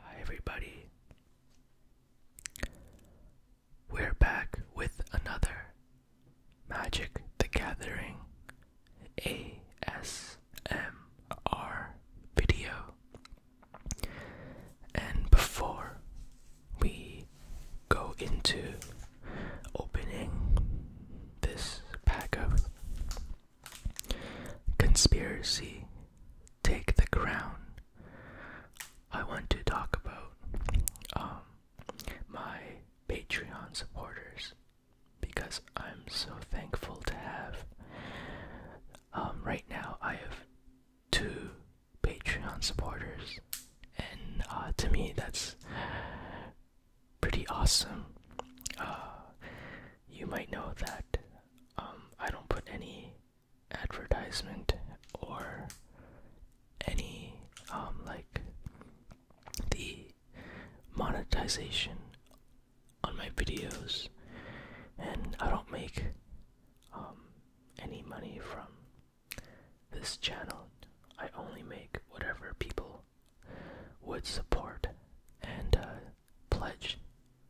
Hi, everybody. We're back with another Magic the Gathering AS. ASMR video. And before we go into opening this pack of conspiracy take the crown, I want to talk about um, my Patreon supporters because I'm so thankful to have. Um, right now, I have two Patreon supporters, and uh, to me, that's pretty awesome. Uh, you might know that um, I don't put any advertisement or any um, like the monetization on my videos, and I don't make um, any money from this channel. I only make whatever people would support and uh, pledge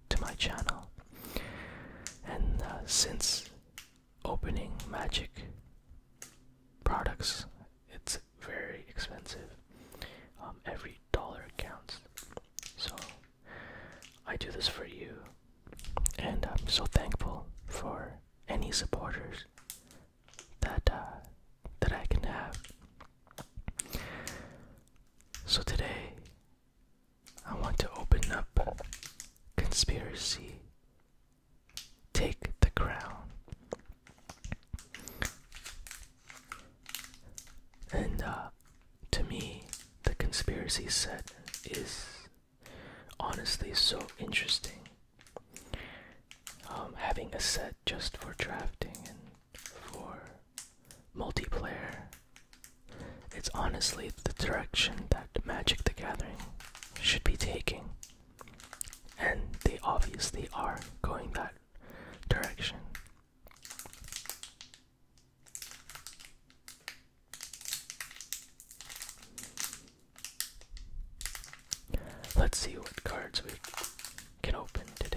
to my channel. And uh, since opening Magic products, it's very expensive. Um, every dollar counts. So I do this for you, and I'm so thankful for any supporters that uh, that I can have. So today, I want to open up conspiracy. Take the crown. And uh, to me, the conspiracy set is honestly so interesting. Um, having a set just for drafting and for multiplayer. It's honestly the direction that Magic the Gathering should be taking. And they obviously are going that direction. Let's see what cards we can open today.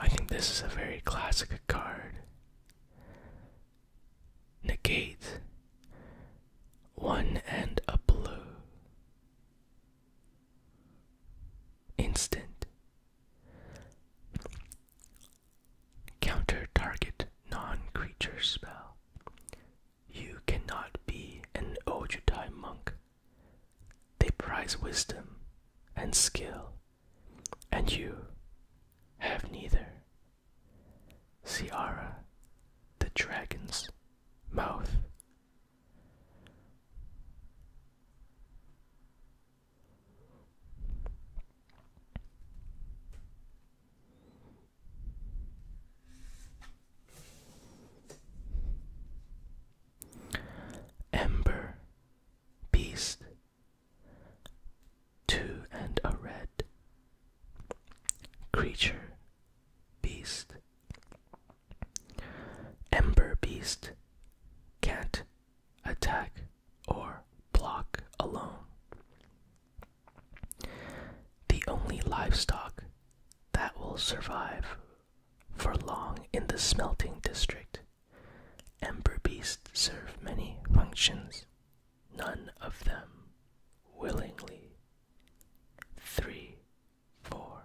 I think this is a very classic card negate one and a blue instant counter target non-creature spell you cannot be an ojutai monk they prize wisdom and skill and you have neither. Siara, the dragon's mouth. Ember, beast two and a red creature beast ember beast can't attack or block alone the only livestock that will survive for long in the smelting district Ember beasts serve many functions, none of them willingly. Three, four.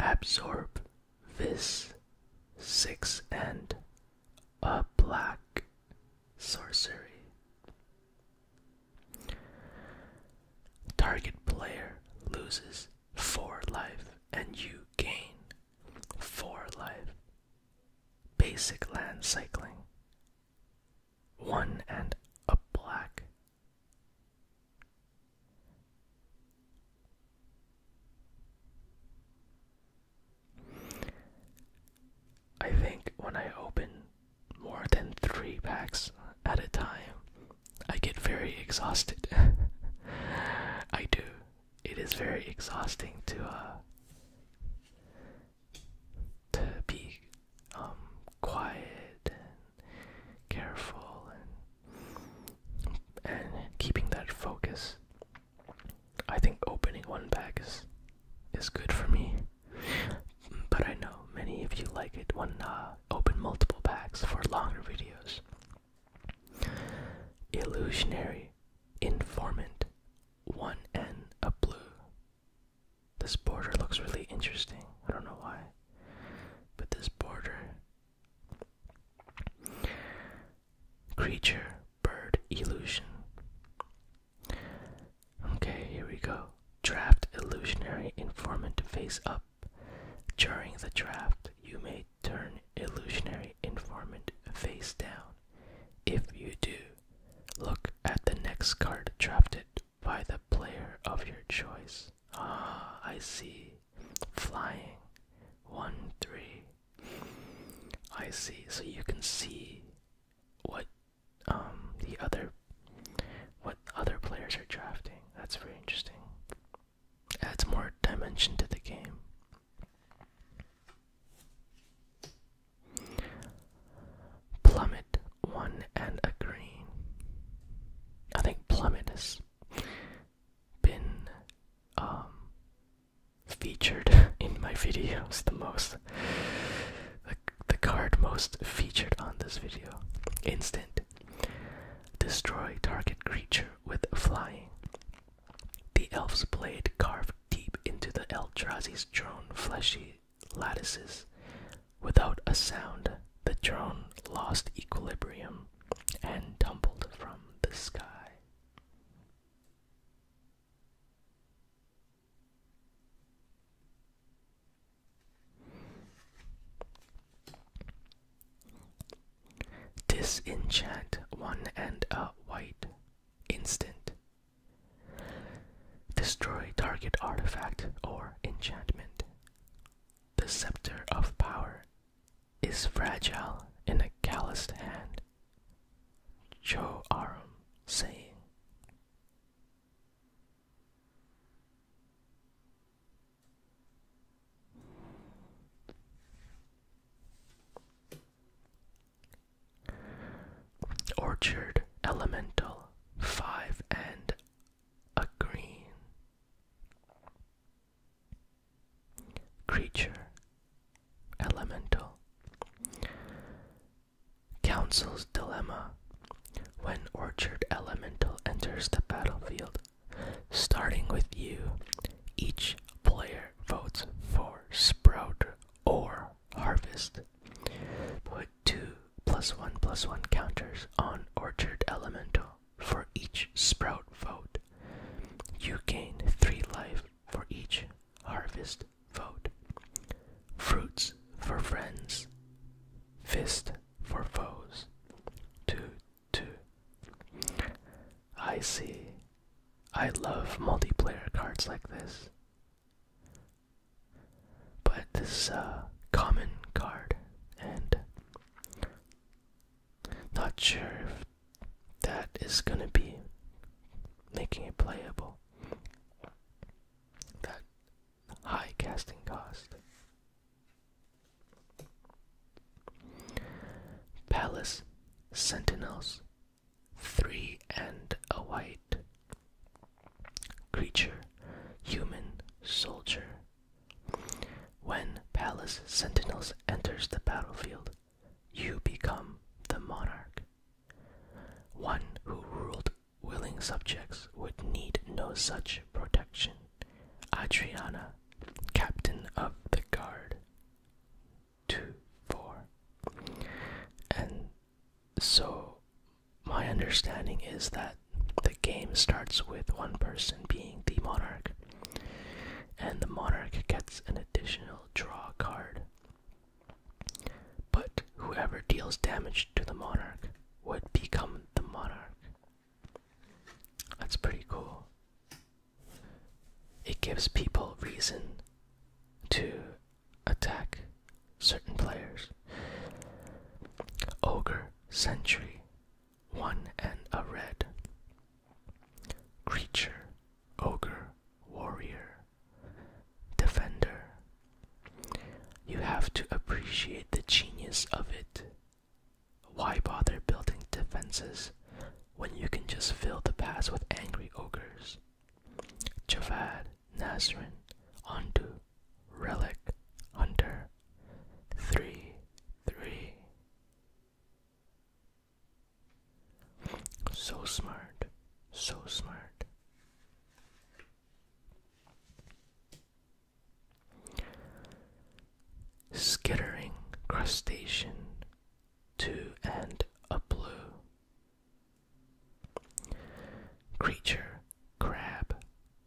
Absorb this six and a black sorcery. Target player loses 4 life and you gain 4 life. Basic land cycling. 1 and a black. I think when I open more than three packs at a time, I get very exhausted. I do. It is very exhausting to uh to be um quiet and careful and keeping that focus. I think opening one pack is is good for me. But I know many of you like it when uh, open multiple packs for longer videos. Illusionary Informant 1N a blue. This border looks really interesting. I don't know why. But this border creature bird illusion. Okay, here we go. Draft illusionary informant face up. During the draft, you may turn illusionary informant face down. If you do, look at the next card drafted by the player of your choice. Ah, I see. Flying. 1 3. I see. So you can see what um, the other what other players are drafting. That's very interesting. Adds more dimension to the game. Plummet one and a green. I think plummet has been um featured in my videos the most. The, the card most featured on this video. Instant. Destroy target creature with flying. The elf's blade carved deep into the Eldrazi's drone fleshy lattices. Without a sound, the drone lost equilibrium and tumbled from the sky. Disenchant one and a white instant. Destroy target artifact or enchantment. The Scepter of Power is fragile in a calloused hand. Cho Aram saying. Orchard Elemental, five and a green creature, elemental. Council's Dilemma When Orchard Elemental enters the battlefield, starting with you, each player votes for Sprout or Harvest. Put two plus one plus one counters on Orchard Elemental for each sprout vote. You gain three life for each harvest vote. Fruits for friends, fist for foes. Two, two. I see. I love multiplayer cards like this. But this common card, and not sure if that is gonna be making it playable. That high casting cost. Palace Sentinels Three and a white creature, human soldier, when palace sentinels enters the battlefield, you become the monarch. One who ruled willing subjects would need no such protection. Adriana, captain of the guard. 2 4. And so, my understanding is that the game starts with one person being the monarch and the monarch gets an additional draw card. But whoever deals damage to the monarch would become the monarch. That's pretty cool. It gives people reason to attack certain players. Ogre Sentry one and a red. Creature, ogre, warrior, defender. You have to appreciate the genius of it. Why bother building defenses when you can just fill the pass with angry ogres? Javad, Nazrin, Ondu, Relic, Hunter. 3 3 so smart, so smart. Skittering crustacean to and a blue. Creature crab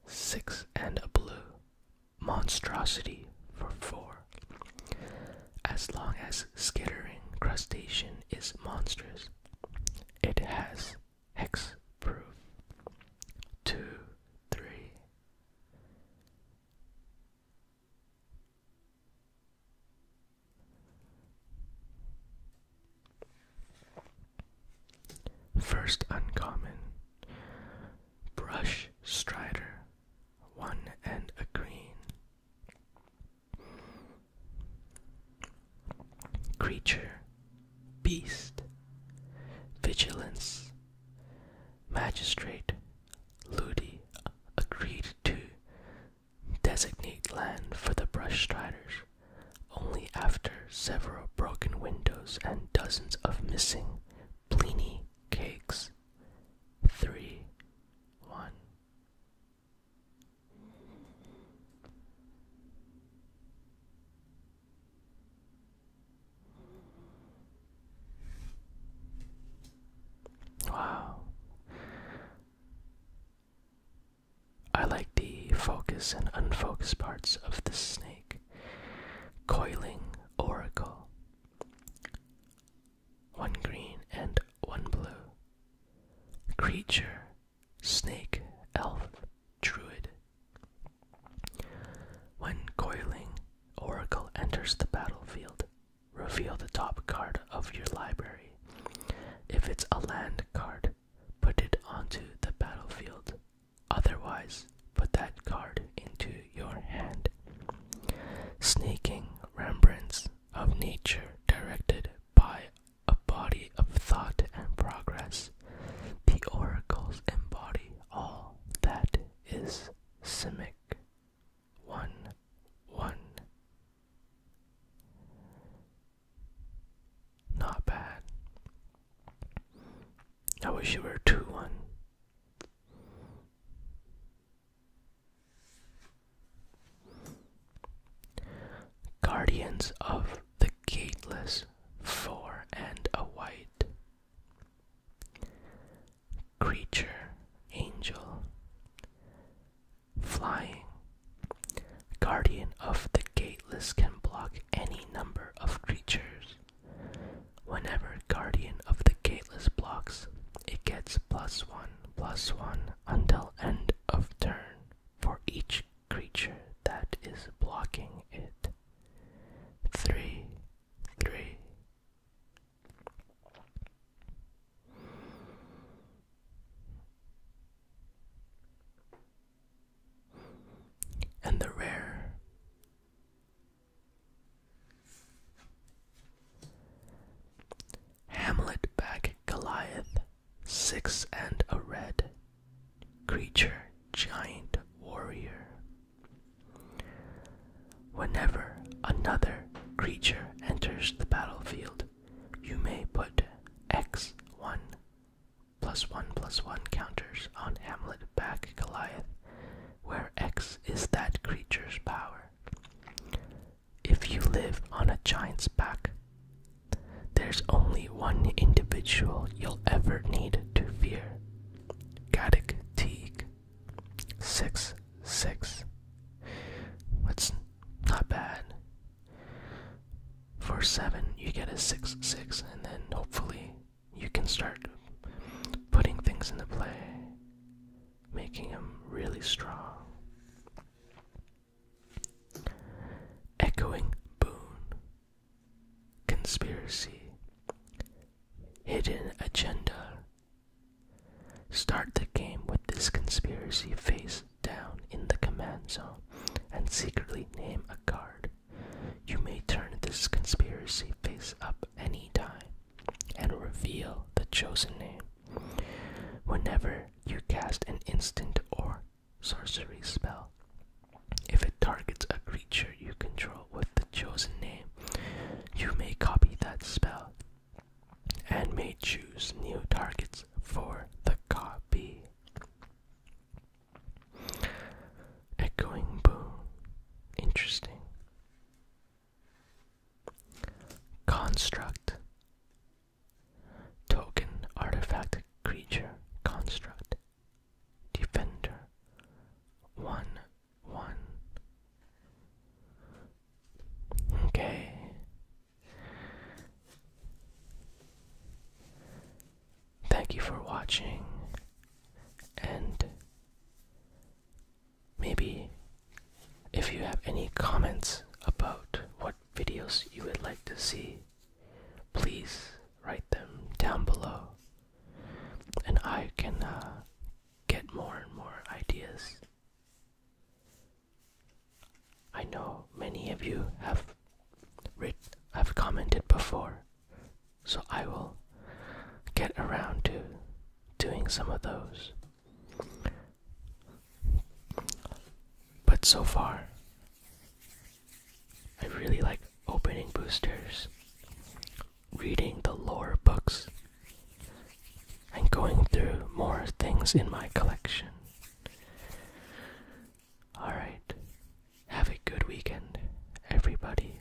six and a blue monstrosity for four. As long as skittering crustacean is monstrous, it has hex proof. Two, three. First uncommon brush strider, one and a green. Creature, beast, vigilance, magistrate, ludi, agreed to designate land for the brush striders only after several broken windows and dozens of missing pliny cakes. Three, one. Wow. I like the focus and unfocused parts of the snake. Coiling Oracle. One green and one blue. Creature, snake, elf, druid. When coiling, Oracle enters the battlefield. Reveal the top card of your library. If it's a land card, put it onto the battlefield Otherwise, put that card into your hand. Sneaking remembrance of nature directed by a body of thought and progress, the oracles embody all that is simic. 1 1 Not bad. I wish you were 2 1. Guardians of the Gateless, four and a white. Creature, angel. Flying. Guardian of the Gateless can block any number of creatures. Whenever Guardian of the Gateless blocks, it gets plus one, plus one until end of turn for each creature that is blocking it. Three, three. And the rare Hamlet back Goliath, six and a red. Creature, giant, warrior. Whenever another creature enters the battlefield, you may put X1 plus one plus one counters on Hamlet back Goliath, where X is that creature's power. If you live on a giant's back, there's only one individual you'll ever need to fear. Gaddick Teak, Six six. That's not bad. For seven you get a six six and then hopefully you can start putting things into play, making them really strong. Echoing Boone. Conspiracy. Hidden agenda. Start the game with this conspiracy face down in the command zone and secretly name a card you may turn this conspiracy face up any time and reveal the chosen name. Whenever you cast an instant or sorcery spell, if it targets a creature you control with the chosen name, you may copy that spell and may choose new targets for the copy. Echoing boom. Interesting. Construct. Token artifact creature construct. Defender. One one. Okay. Thank you for watching, and maybe if you have any comments about what videos you would like to see, please write them down below, and I can uh, get more and more ideas. I know many of you have writ have commented before so I will get around to doing some of those. But so far, I really like opening boosters, reading the lore books, and going through more things in my collection. Alright. Have a good weekend, everybody.